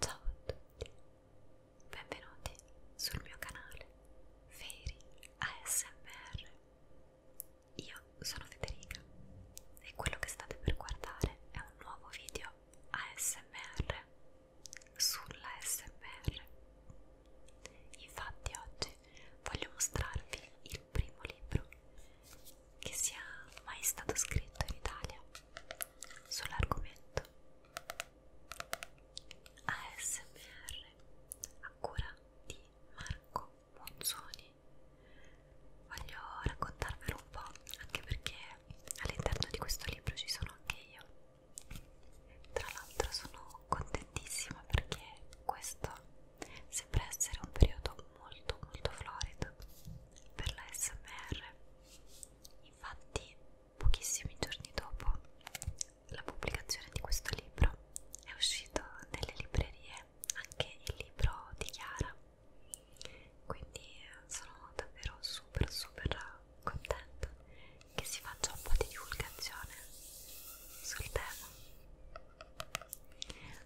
Ciao a tutti, benvenuti sul mio canale Fairy ASMR. Io sono Federica e quello che state per guardare è un nuovo video ASMR sull'ASMR. Infatti oggi voglio mostrarvi il primo libro che sia mai stato scritto in Italia sull'argomento. ASMR a cura di Marco Monzoni. Voglio raccontarvelo un po', anche perché all'interno di questo libro ci sono anche io. Tra l'altro sono contentissima perché questo sembra essere un periodo molto molto florido per la SMR infatti pochissimi giorni dopo la pubblicazione di questo libro è uscito nelle librerie anche il libro di Chiara quindi sono davvero super super contenta che si faccia un po' di divulgazione sul tema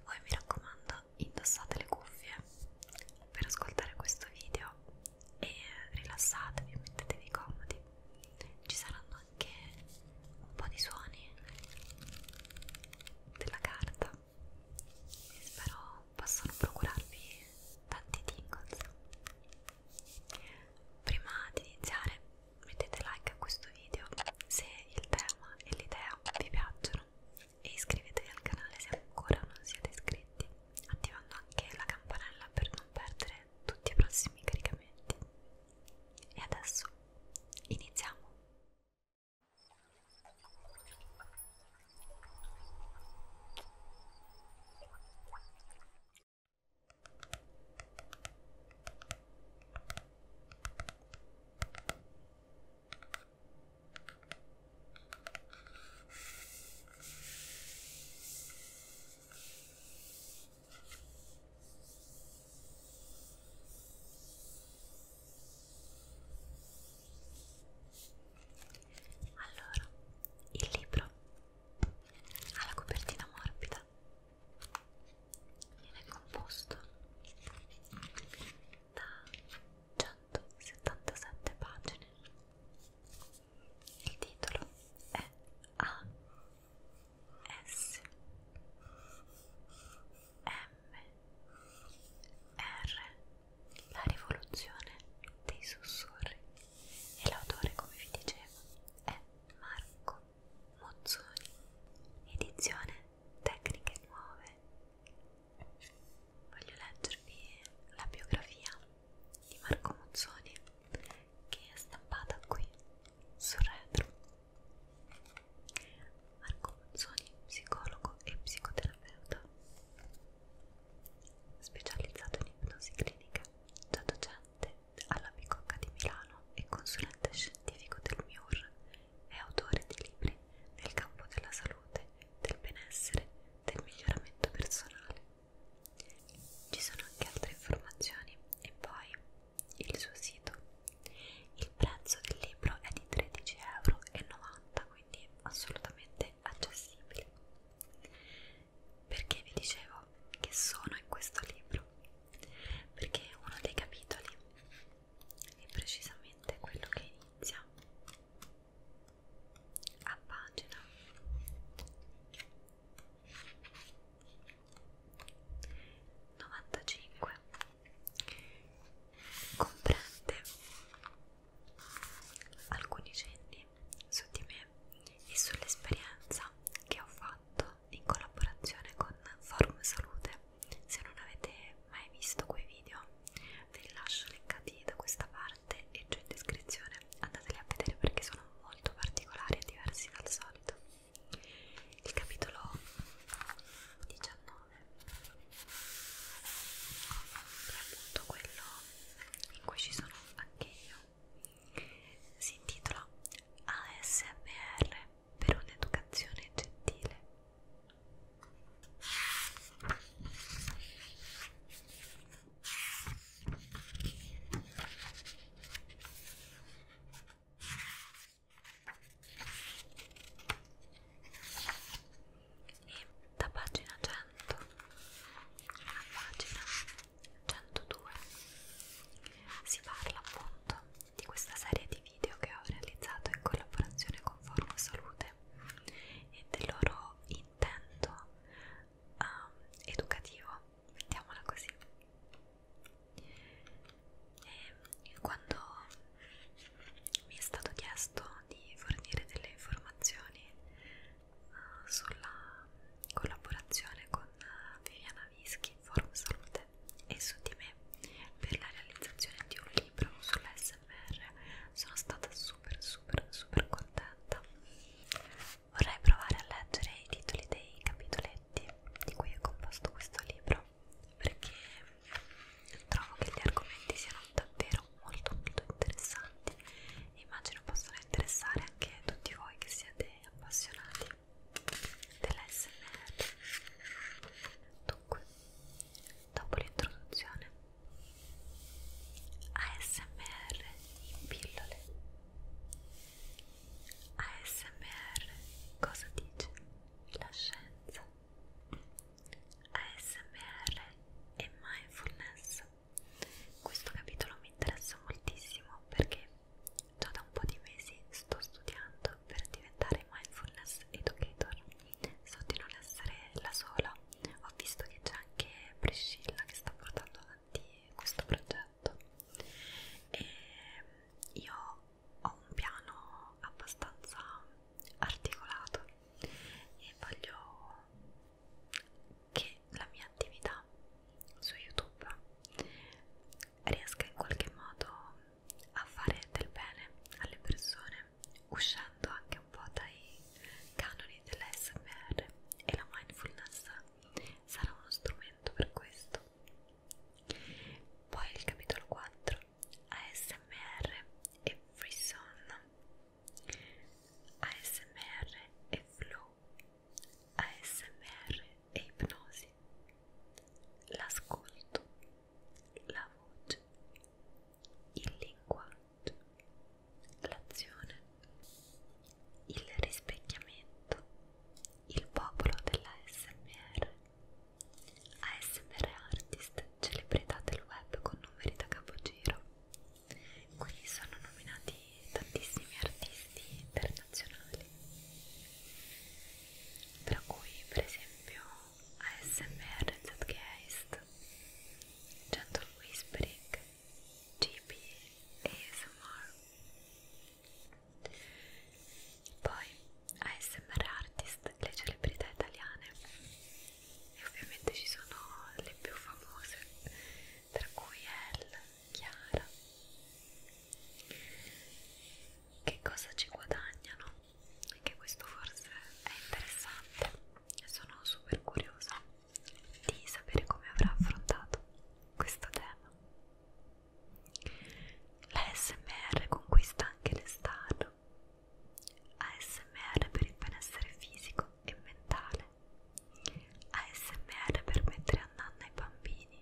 voi mi raccomando allora indossate le cuffie per ascoltare questo video e rilassatevi, mettetevi comodi. Ci saranno anche un po' di suoni della carta e spero possano procurarvi tanti tingles. Prima di iniziare mettete like a questo video se il tema e l'idea vi piacciono e iscrivetevi al canale se ancora non siete iscritti attivando anche la campanella per non perdere tutti i prossimi caricamenti e adesso iniziamo allora, il libro ha la copertina morbida, viene composto da 177 pagine. Il titolo è A S M R La rivoluzione dei sussurri e l'autore, come vi dicevo, è Marco Mozzoni. Edizione Tecniche Nuove voglio leggervi la biografia di Marco Mozzoni che è stampata qui sul retro. Marco Mozzoni, psicologo e psicoterapeuta, specializzato in ipnosi clinica, già docente alla Bicocca di Milano e consulente scientifico del MIUR è autore di libri nel campo della salute, del benessere, del miglioramento personale. Ci sono anche altre informazioni e poi il suo sito. Il prezzo del libro è di 13,90 euro, quindi assolutamente accessibile. Perché vi dicevo che sono in questo libro? Perché uno dei capitoli è precisamente quello che inizia a pagina 95 comprende alcuni cenni su di me e sull'esperienza che ho fatto in collaborazione con Forum Salute se non avete mai visto quei video ve li lascio linkati da questa parte e giù in descrizione andateli a vedere perché sono molto particolari e diversi dal solito il capitolo 19 è appunto quello in cui ci sono anche io si intitola ASMR per un'educazione gentile. E da pagina 100 a pagina 102 si parla appunto di questa serie di video che ho realizzato in collaborazione con Forum Salute e del loro intento um, educativo, mettiamola così. E ehm, quando mi è stato chiesto di fornire delle informazioni uh, sulla collaborazione con uh, Viviana Vischi Forum Salute e su di me per la realizzazione di un libro sull'SMR. Sono stata super super super contenta. Vorrei provare a leggere i titoli dei capitoletti di cui è composto questo libro perché trovo che gli argomenti siano davvero molto molto interessanti e immagino possano interessare anche tutti voi che siete appassionati dell'SMR dunque dopo l'introduzione ASMR in pillole ASMR cosa dice la scienza ASMR e mindfulness questo capitolo mi interessa moltissimo perché Già da un po' di mesi sto studiando per diventare mindfulness educator. So di non essere la sola, ho visto che c'è anche Priscilla che sta portando avanti questo progetto e mm, io ho un piano abbastanza articolato e voglio che la mia attività su YouTube riesca in qualche modo a fare del bene alle persone, uscendo anche un po' dai canoni dell'ASMR e la mindfulness sarà uno strumento per questo. Poi il capitolo 4, ASMR e Free Son, ASMR e Flow, ASMR e Ipnosi l'ascolto, la voce, il linguaggio, l'azione, il rispecchiamento, il popolo della SMR. ASMR Artist, celebrità del web con numeri da capogiro. Qui sono nominati tantissimi artisti internazionali tra cui per esempio ASMR Zeitgeist, Gentle Whispering, GB ASMR poi ASMR Artist, le celebrità italiane e ovviamente ci sono le più famose tra cui Elle, Chiara che cosa ci guadagnano e che questo forse è interessante e sono super curiosa di sapere come avrà affrontato questo tema la smr conquista anche le star ASMR per il benessere fisico e mentale ASMR per mettere a nanna i bambini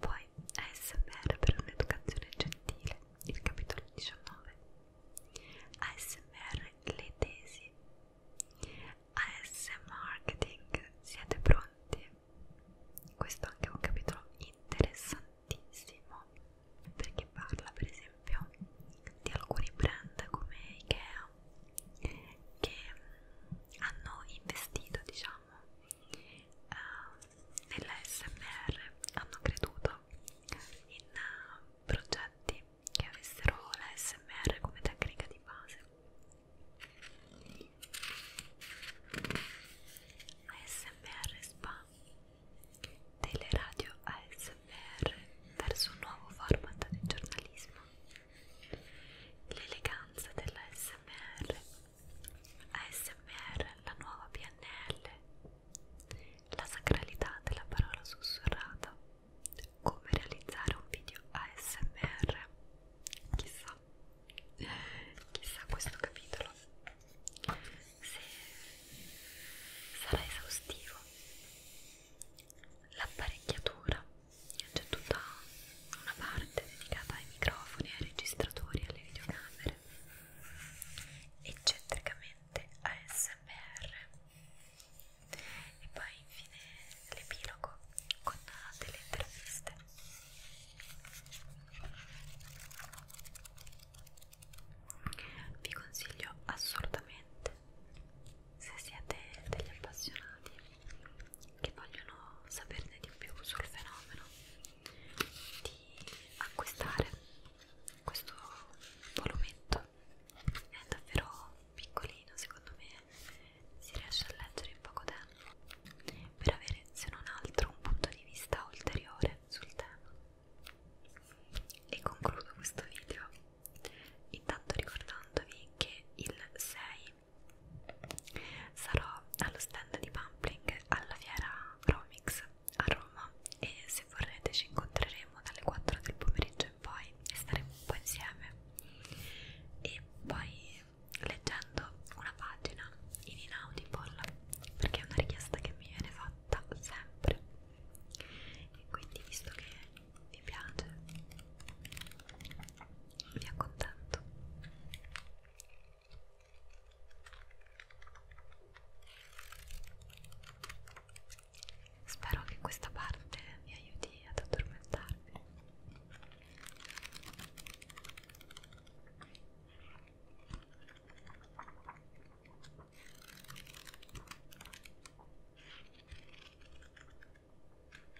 poi ASMR per un'educazione gentile, il capitolo 19. ASMR le tesi. AS marketing, siete pronti? Questo anche è anche un capitolo interessantissimo perché parla per esempio di alcuni brand come Ikea che hanno investito diciamo diciamo, eh, nell'ASMR hanno creduto in eh, progetti che avessero l'ASMR come tecnica di base. ASMR Spa Teleradio ASMR verso un nuovo format di giornalismo. L'eleganza della SMR ASMR, la nuova PNL, la sacralità della parola sussurrata, come realizzare un video ASMR, chissà, chissà questo capitolo se sarà esaustivo. L'apparecchiatura c'è tutta una parte dedicata ai microfoni, ai registratori, alle videocamere eccentricamente ASMR e poi infine l'epilogo con delle interviste vi consiglio assolutamente se siete degli appassionati che vogliono saperne di più sul fenomeno di acquistare questo volumetto è davvero piccolino secondo me si riesce a leggere in poco tempo per avere se non altro un punto di vista ulteriore sul tema e concludo questo video intanto ricordandovi che il 6 sarò allo stand di Pumpling alla fiera Romix a Roma e se vorrete ci incontreremo dalle 4 del pomeriggio in poi e staremo un po' insieme e poi leggendo una pagina in Inaudible perché è una richiesta che mi viene fatta sempre e quindi visto che vi piace mi accontento spero che questa parte mi aiuti ad addormentarmi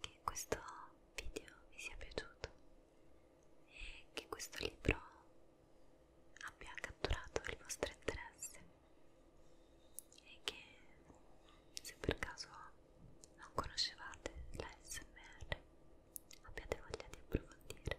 che questo video vi sia piaciuto e che questo libro abbia catturato il vostro interesse e che se per caso non conoscevate la SMR abbiate voglia di approfondire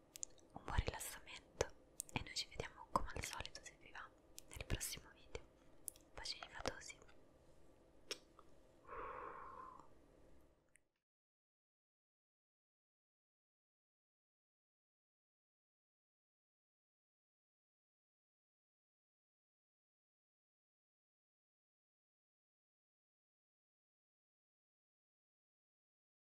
un buon rilassamento e noi ci vediamo come al solito se vi va nel prossimo video. Bacini fatosi!